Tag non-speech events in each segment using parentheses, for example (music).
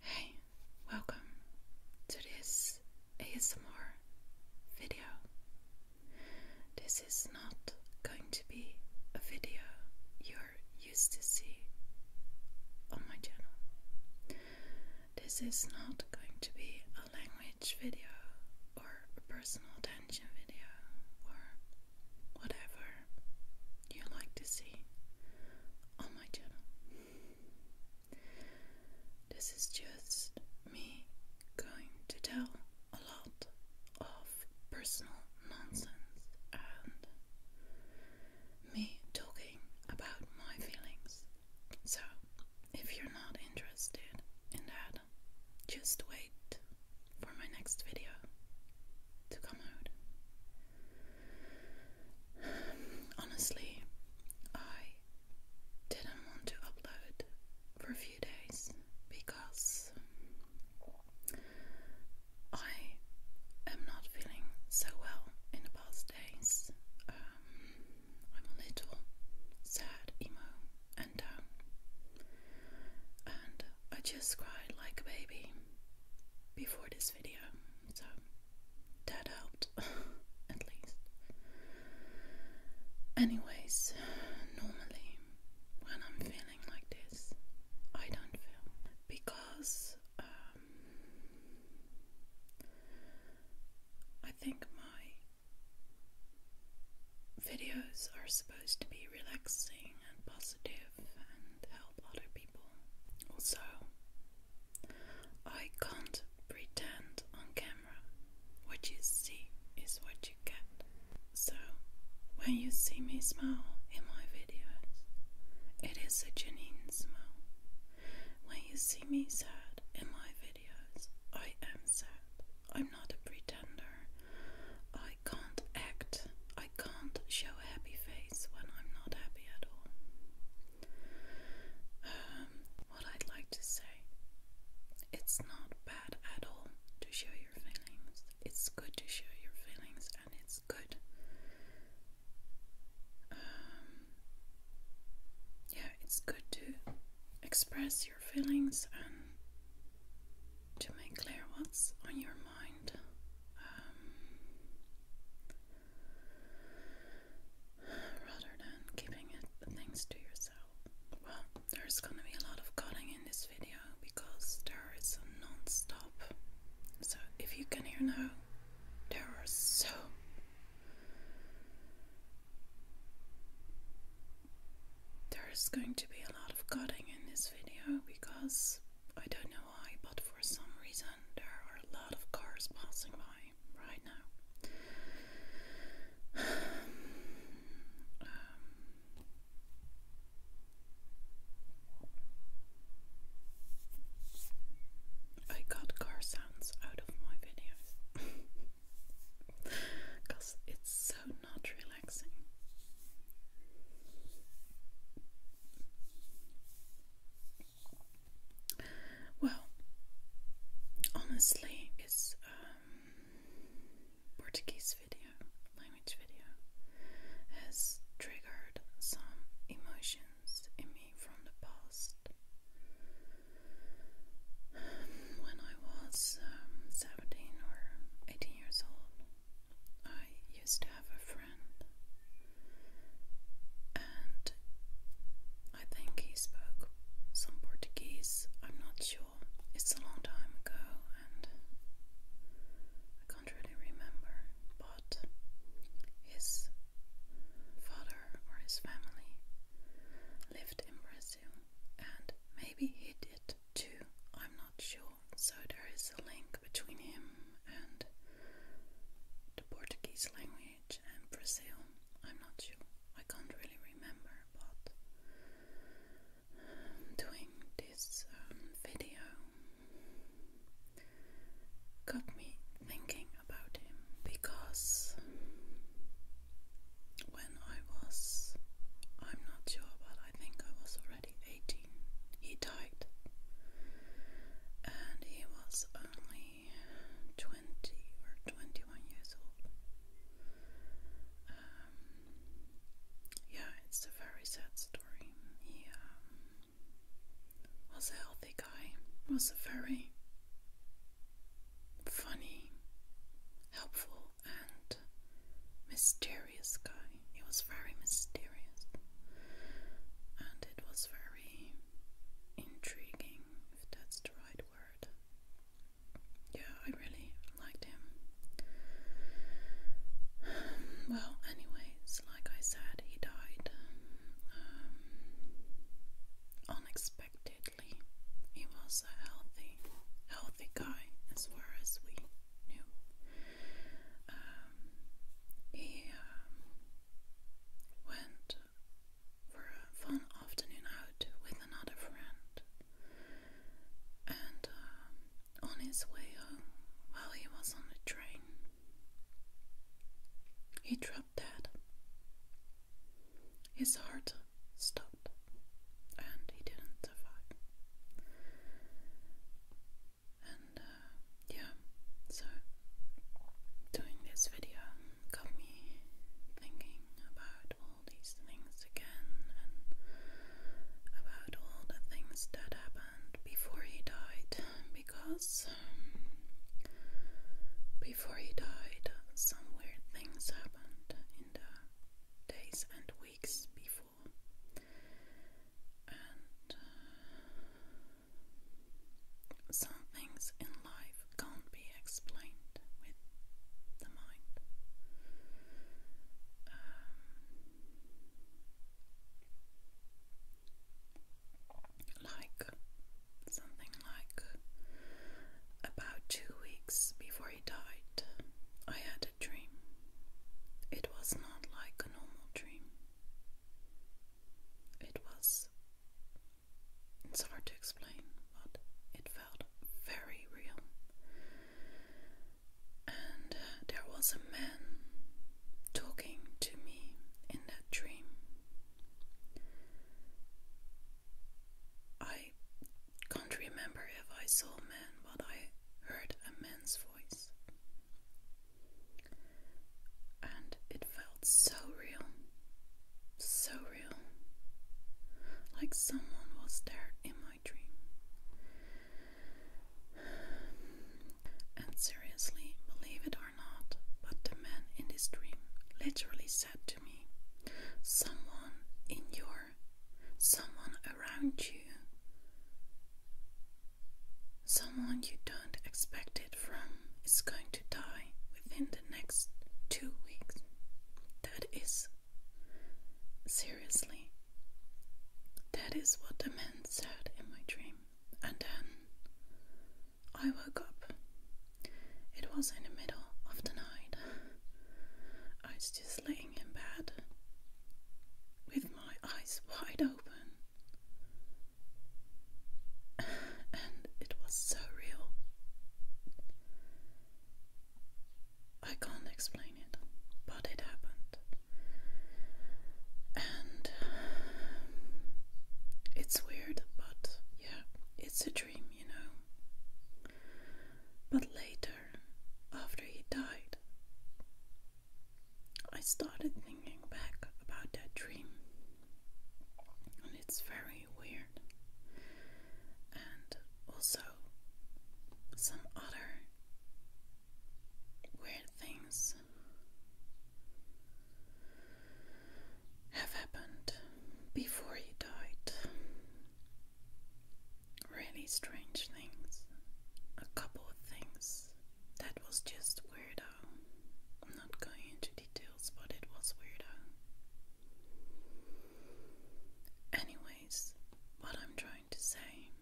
Hey, welcome to this ASMR video. This is not going to be a video you're used to see on my channel. This is not going to be a language video or a personal attention video or whatever you like to see on my channel. This is just me going to tell a lot of personal nonsense and me talking about my feelings. So, if you're not interested in that, just wait for my next video to come out. Honestly, I didn't want to upload for a few days because I am not feeling so well in the past days. Um, I'm a little sad, emo, and down, and I just cried like a baby before this video so that out (laughs) at least. Anyways, normally when I'm feeling like this, I don't film because um, I think my videos are supposed to be relaxing and positive and help other people. Also, I can't pretend on camera. What you see is what you get. So, when you see me smile in my videos, it is a genuine smile. When you see me sad in my videos, I am sad. I'm not a pretender. I I can't act. I can't show a happy face when I'm not happy at all. Um, what I'd like to say, it's not bad at all to show your feelings. It's good to show your feelings, and it's good. Um, yeah, it's good to express your feelings and to make clear what's on your um, rather than keeping it, things to yourself. Well, there's gonna be a lot of cutting in this video because there is a So if you can hear now, there so there's going to be a lot of cutting in this video because I don't know why, but for some reason there are a lot of cars passing by right now. (sighs) Um, I got car sounds out of my videos because (laughs) it's so not relaxing. Well, honestly, it's um, Portuguese video, language video, has triggered some emotions in me from the past. when I was um, 17 or 18 years old, I used to have a friend, and I think he spoke some Portuguese. I'm not sure. It's a long time ago, and I can't really remember. But his father or his family lived in Brazil, and maybe he did too. I'm not sure so there is a link between him and the Portuguese language and Brazil. I'm not sure, I can't really remember, but um, doing this um, video got me thinking about him because when I was, I'm not sure, but I think I was 18. He died. And he was only 20 or 21 years old. Um, yeah, it's a very sad story. He um, was a healthy guy, was a very funny, helpful and mysterious guy. He was very mysterious and it was very intriguing, if that's the right word. Yeah, I really liked him. well, anyways, like I said, he died um, unexpectedly. He was a healthy, healthy guy, as far as we knew. Um, he um, went for a fun afternoon out with another friend, and um, on his way home, while he was on the train, he dropped dead. His heart stopped and he didn't survive. And uh, yeah, so doing this video got me thinking about all these things again and about all the things that happened before he died because before he died, some weird things happened in the days and weeks before. And uh, some things in life can't be explained with the mind. Um, like something like about two weeks before he died. I had a dream. It was not like a normal dream. It was. It's hard to explain, but it felt very real. And there was a man talking to me in that dream. I I can't remember if I saw a man, but I heard a man's voice. And it felt so real, so real. Like someone was there in my dream. And seriously, believe it or not, but the man in this dream literally said to me, Someone in your someone around you, someone you don't expect it from, is going to die within the next two weeks. That is seriously. That is what the man said in my dream. And then I woke up. It was in the middle of the night. I was just laying in bed with my eyes wide open, (sighs) and it was so real. I can't explain it, but it happened. And (sighs) it's weird, but yeah, it's a dream, you know. But later, after he died, I started thinking back about that dream, and it's very weird, and also some other weird things have happened before he died really strange things. A couple of things that was just weirdo. I'm not going into details, but it was weirdo. Anyways, what I'm trying to say.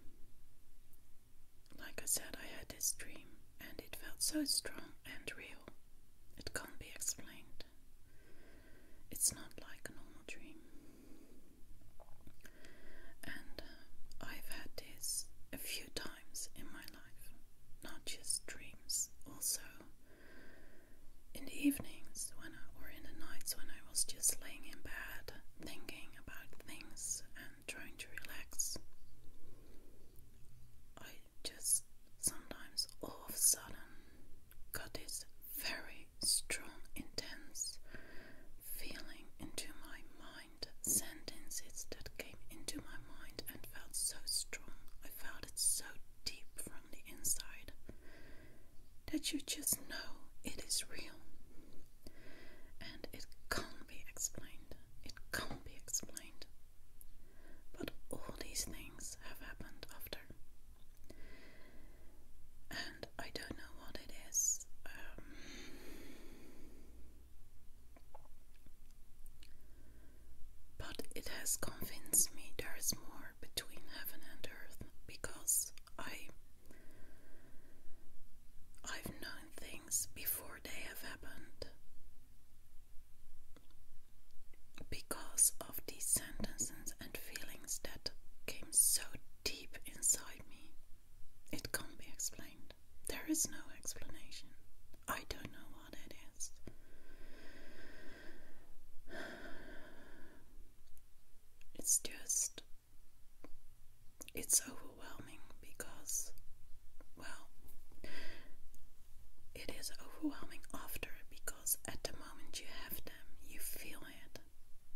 Like I said, I had this dream and it felt so strong and real. It can't be explained. It's not like a normal dream. And uh, I've had this a few times in my life, not just dreams, also in the evenings when or in the nights when I was just laying in bed thinking about things and trying to relax. I just sometimes all of a sudden got this very strong, intense feeling into my mind, sentences that came into my mind and felt so strong. I felt it so deep from the inside that you just know it is real and it can't be explained. It can't be explained. But all these things have happened after and I don't know what it is. Um, but it has convinced me there is more between heaven and earth because I I've known things before they have happened because of these sentences and feelings that came so deep inside me. It can't be explained. There is no explanation. I don't know what it is. It's just. It's overwhelming because, well, it is overwhelming after because at the moment you have them, you feel it,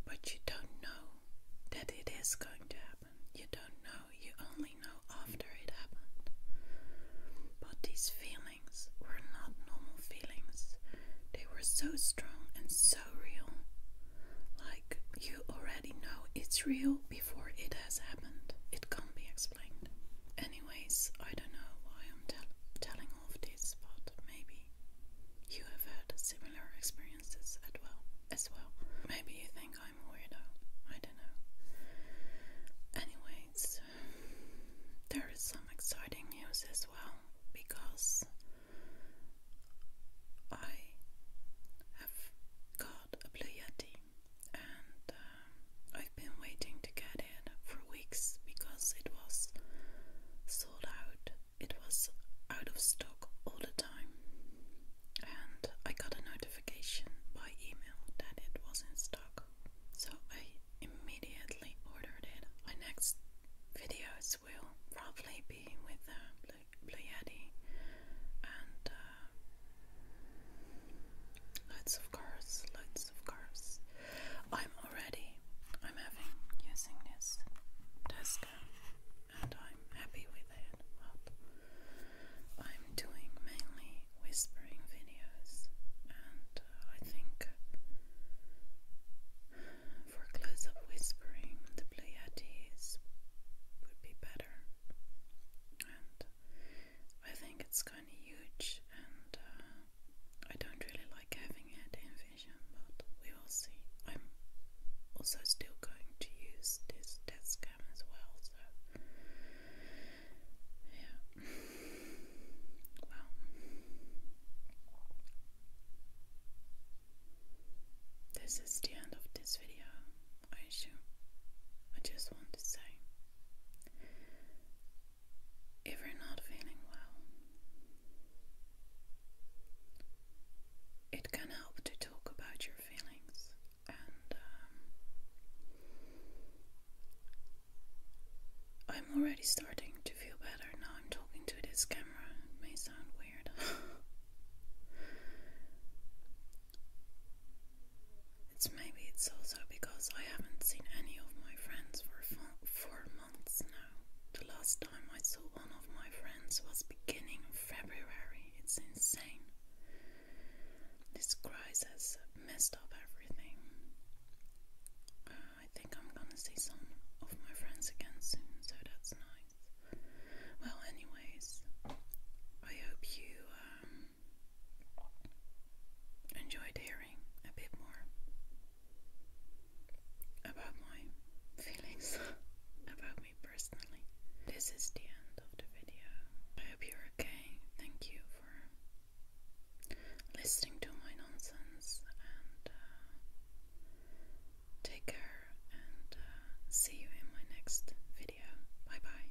but you don't know that it is going to happen. You don't know, you only know after it happened. But these feelings were not normal feelings, they were so strong and so real. Like you already know it's real before it has happened, it can't be explained. Anyways, I don't know why I'm telling all of this, but maybe you have had similar experiences as well. As well, maybe you think I'm a weirdo. I don't know. Anyways, there is some exciting news as well because I have got a Blue Yeti, and uh, I've been waiting to get it for weeks because it was sold out. It was out of stock all the time, and I got a notification by email that it was in stock. So I immediately ordered it. My next videos will probably be with the Blue, Yeti and uh, Lots of cars, lots of cars. I'm already, I'm having using this desk and I'm happy with it. I'm doing mainly whispering videos and uh, I think for close up whispering the Pleiades would be better. And I think it's huge, and uh, I don't really like having it in vision, but we will see. I'm also still going to use this desk cam as well, so yeah. well. This is the end of this video, I just want to say if you're not feeling well. It can help to talk about your feelings and um, I'm already starting to feel better now I'm talking to this camera. It may sound weird. (laughs) It's maybe it's also because I haven't seen any of my friends for four months now. The last time I saw one of my friends was beginning of February. It's insane. This crisis messed up everything. Uh, I think I'm gonna see some of my friends again soon, so that's nice. Well, anyways, I hope you um, enjoyed hearing a bit more about my feelings (laughs) about me personally. This is the end of the video. I hope you're okay. Thank you for listening to my nonsense and uh, take care and uh, see you in my next video. Bye bye.